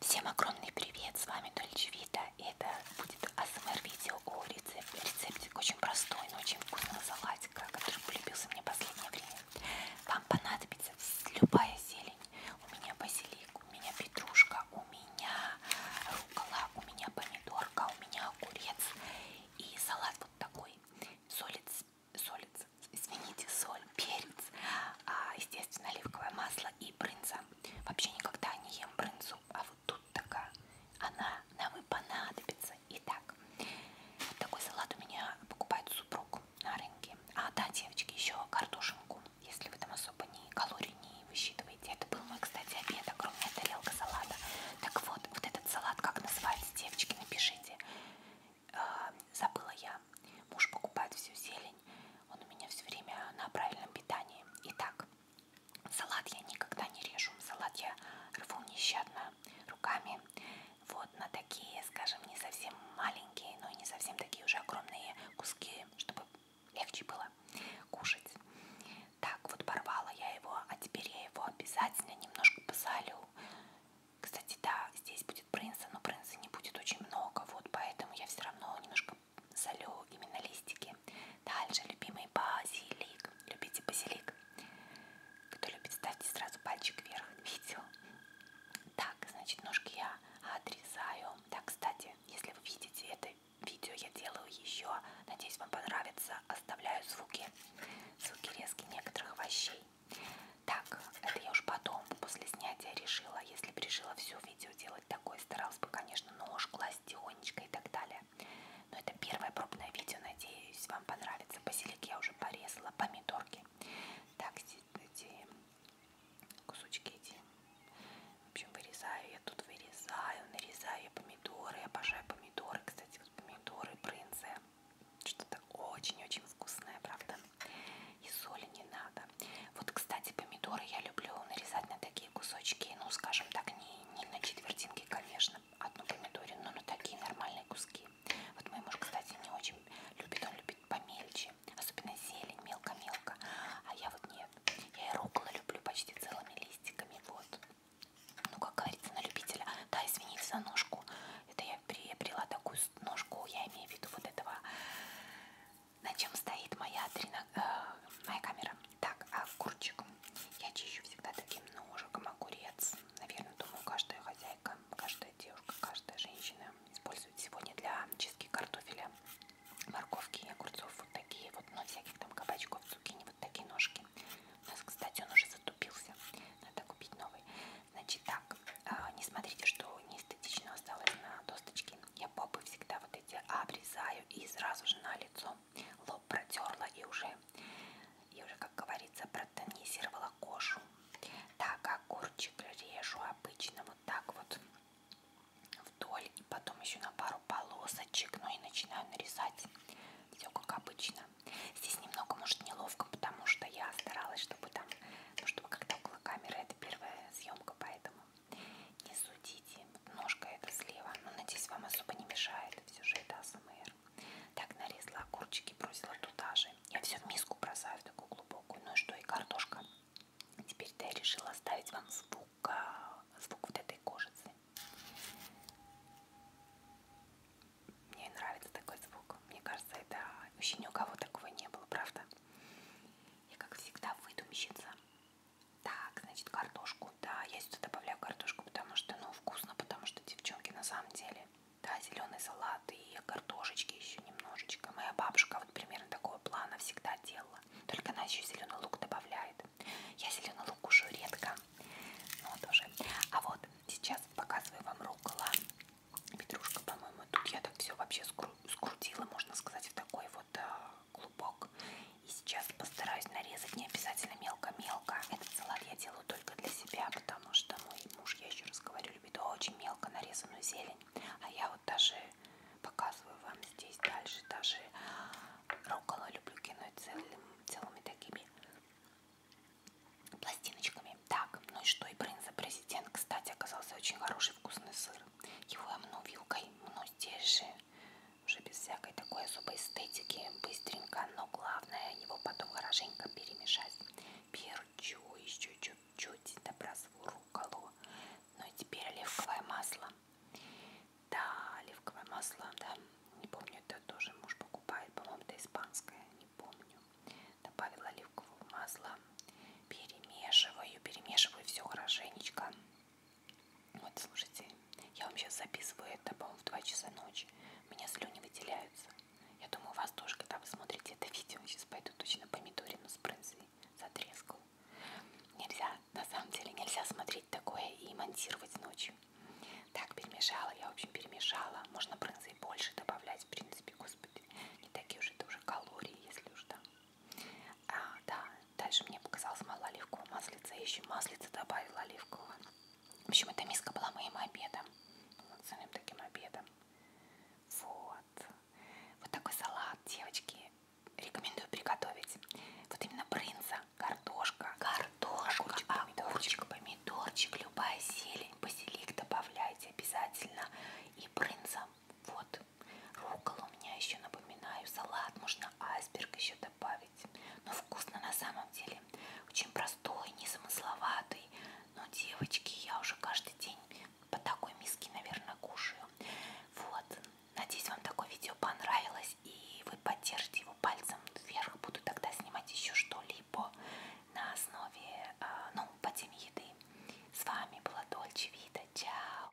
Всем огромный привет, с вами Дольче Вита. Это будет АСМР видео о рецепте. Рецептик очень простой, но очень вкусного салатика, который полюбился мне в последнее время. Вам понадобится любая зелень. У меня базилик, у меня петрушка, у меня рукола, у меня помидорка, у меня огурец. И салат вот такой. Соль, солец, извините, соль, перец, а, естественно, оливковое масло и брынза. Вообще никогда не ем брынзу, а вот тут такая, она нам и понадобится. Итак, вот такой салат у меня покупает супруг на рынке. А да, девочки, еще картошинку, если вы там особо не калорий не высчитываете. Это был мой, кстати, обед, огромная тарелка салата. Так вот, вот этот салат как называется, девочки, напишите. А, забыла я. Муж покупает всю зелень. Он у меня все время на правильном питании. Итак, салат я никогда не режу. Салат я рву нещадно руками. Вот на такие, скажем, не совсем маленькие, но и не совсем такие уже огромные куски, чтобы легче было кушать. Так, вот порвала я его, а теперь я его обязательно немножко посолю. Кстати, да, здесь будет принца, но принца не будет очень много, вот поэтому я все равно немножко солю именно листики. Дальше любимый базилик. Любите базилик? Кто любит, ставьте сразу пальчик вверх. Видео. Так, значит, ножки я отрезаю. Да, кстати, если вы видите это видео, я делаю еще. Надеюсь, вам понравится. Оставляю звуки звуки резки некоторых овощей. Так, это я уж потом, после снятия, решила, если бы решила все видео делать такое, старалась бы, конечно, нож класть тихонечко и так далее. Но это первое пробное видео, надеюсь, вам понравится. Базилик я уже порезала, помидорки. Так, эти кусочки эти. В общем, вырезаю, я тут вырезаю, нарезаю я помидоры, я обожаю помидоры, кстати, помидоры, брынзы. Что-то очень-очень вкусное, правда? И соли не надо. Вот, кстати, помидоры я люблю нарезать на такие кусочки, ну, скажем так, не, не на четвертинки, конечно, одну помидоре, но на такие нормальные куски. Вот мой муж, кстати, не очень любит, он любит помельче, особенно зелень, мелко-мелко, а я вот нет. Я и руколы люблю почти целыми листиками, вот ну как говорится, на любителя. Да, извините за ножку. Это я приобрела такую ножку, я имею в виду вот этого, на чем стоит моя, трина... э, моя камера. Так, огурчик. А я чищу всегда таким ножиком огурец. Наверное, думаю, каждая хозяйка, каждая девушка, каждая женщина использует сегодня для чистки картофеля морковки и огурцов вот такие вот, но всяких там кабачков, цукини, вот такие ножки. У нас, кстати, он уже затупился, надо купить новый. Значит, так, а, не смотрите, что неэстетично осталось на досточке. Я попы всегда вот эти обрезаю и сразу же на лицо лоб протерла и уже, и уже, как говорится, протонизировала кожу. Так, огурчик режу обычно вот так вот вдоль и потом еще на пару полосочек, ну и начинаю нарезать все как обычно. Здесь немного, может, неловко, потому что я старалась, чтобы там, ну, чтобы когда около камеры, это первая съемка, поэтому не судите. Ножка это слева, но, надеюсь, вам особо не мешает, все же это АСМР. Так, нарезала огурчики, бросила туда же. Я все в миску бросаю, в такую глубокую. Ну и что, и картошка Теперь я решила оставить вам звук, а, звук вот этой кожицы. Мне нравится такой звук. Мне кажется, это еще ни у кого такого не было, правда? Я, как всегда, выдумщица. Так, значит, картошку. Да, я сюда добавляю картошку, потому что, ну, вкусно, потому что, девчонки, на самом деле, да, зеленый салат и картошечки еще немножечко. Моя бабушка вот примерно такого плана всегда делала. Только она еще зеленый лук добавляет. Я зеленый лук кушаю редко. Но тоже. А вот сейчас показываю вам рукола. Петрушка, по-моему, тут я так все вообще скрутила, можно сказать, в такой вот а, клубок. И сейчас постараюсь нарезать не обязательно мелко-мелко. Этот салат я делаю только для себя, потому что мой муж, я еще раз говорю, любит очень мелко нарезанную зелень. А я вот даже показываю вам здесь дальше. Даже руккола люблю кинуть целым, целыми такими пластиночками. Так, ну и что, и принца президент, кстати, оказался очень хороший вкусный сыр. Его я мну вилкой, мну здесь же, уже без всякой такой особой эстетики, быстренько, но главное его потом хорошенько перемешать перчу, еще чуть-чуть добросву руколу. Ну и теперь оливковое масло. Да, оливковое масло, да. Не помню, это тоже муж покупает, по-моему, это испанское, не помню. Добавила оливкового масла, перемешиваю, перемешиваю все хорошенечко. Вот, слушайте, я вам сейчас записываю это, по-моему, в 2 часа ночи. У меня слюни выделяются. Я думаю, у вас тоже, когда вы смотрите это видео, сейчас пойду точно помидорину с брынзой затрескал. Нельзя, на самом деле, нельзя смотреть такое и монтировать ночью. Так, перемешала, я, в общем, перемешала. Можно брынзы и больше добавлять, в принципе, господи. Не такие уже это уже калории, если уж там. Да. А, да, дальше мне показалось мало оливкового маслица. Я еще маслица добавила оливкового. В общем, эта миска была моим обедом. Полноценным таким обедом. Вот. Вот такой салат, девочки. Рекомендую приготовить. Вот именно брынза, картошка, картошка, огурчик, а помидорчик, помидорчик, любая зелень, базилик добавляйте обязательно. И брынза. Вот. Руккола у меня еще, напоминаю, салат. Можно айсберг еще добавить быть. Но вкусно на самом деле. Очень простой, незамысловатый. Но, девочки, я уже каждый день по такой миске, наверное, кушаю. Вот. Надеюсь, вам такое видео понравилось. И вы поддержите его пальцем вверх. Буду тогда снимать еще что-либо на основе, а, ну, по теме еды. С вами была Дольче Вита. Чао!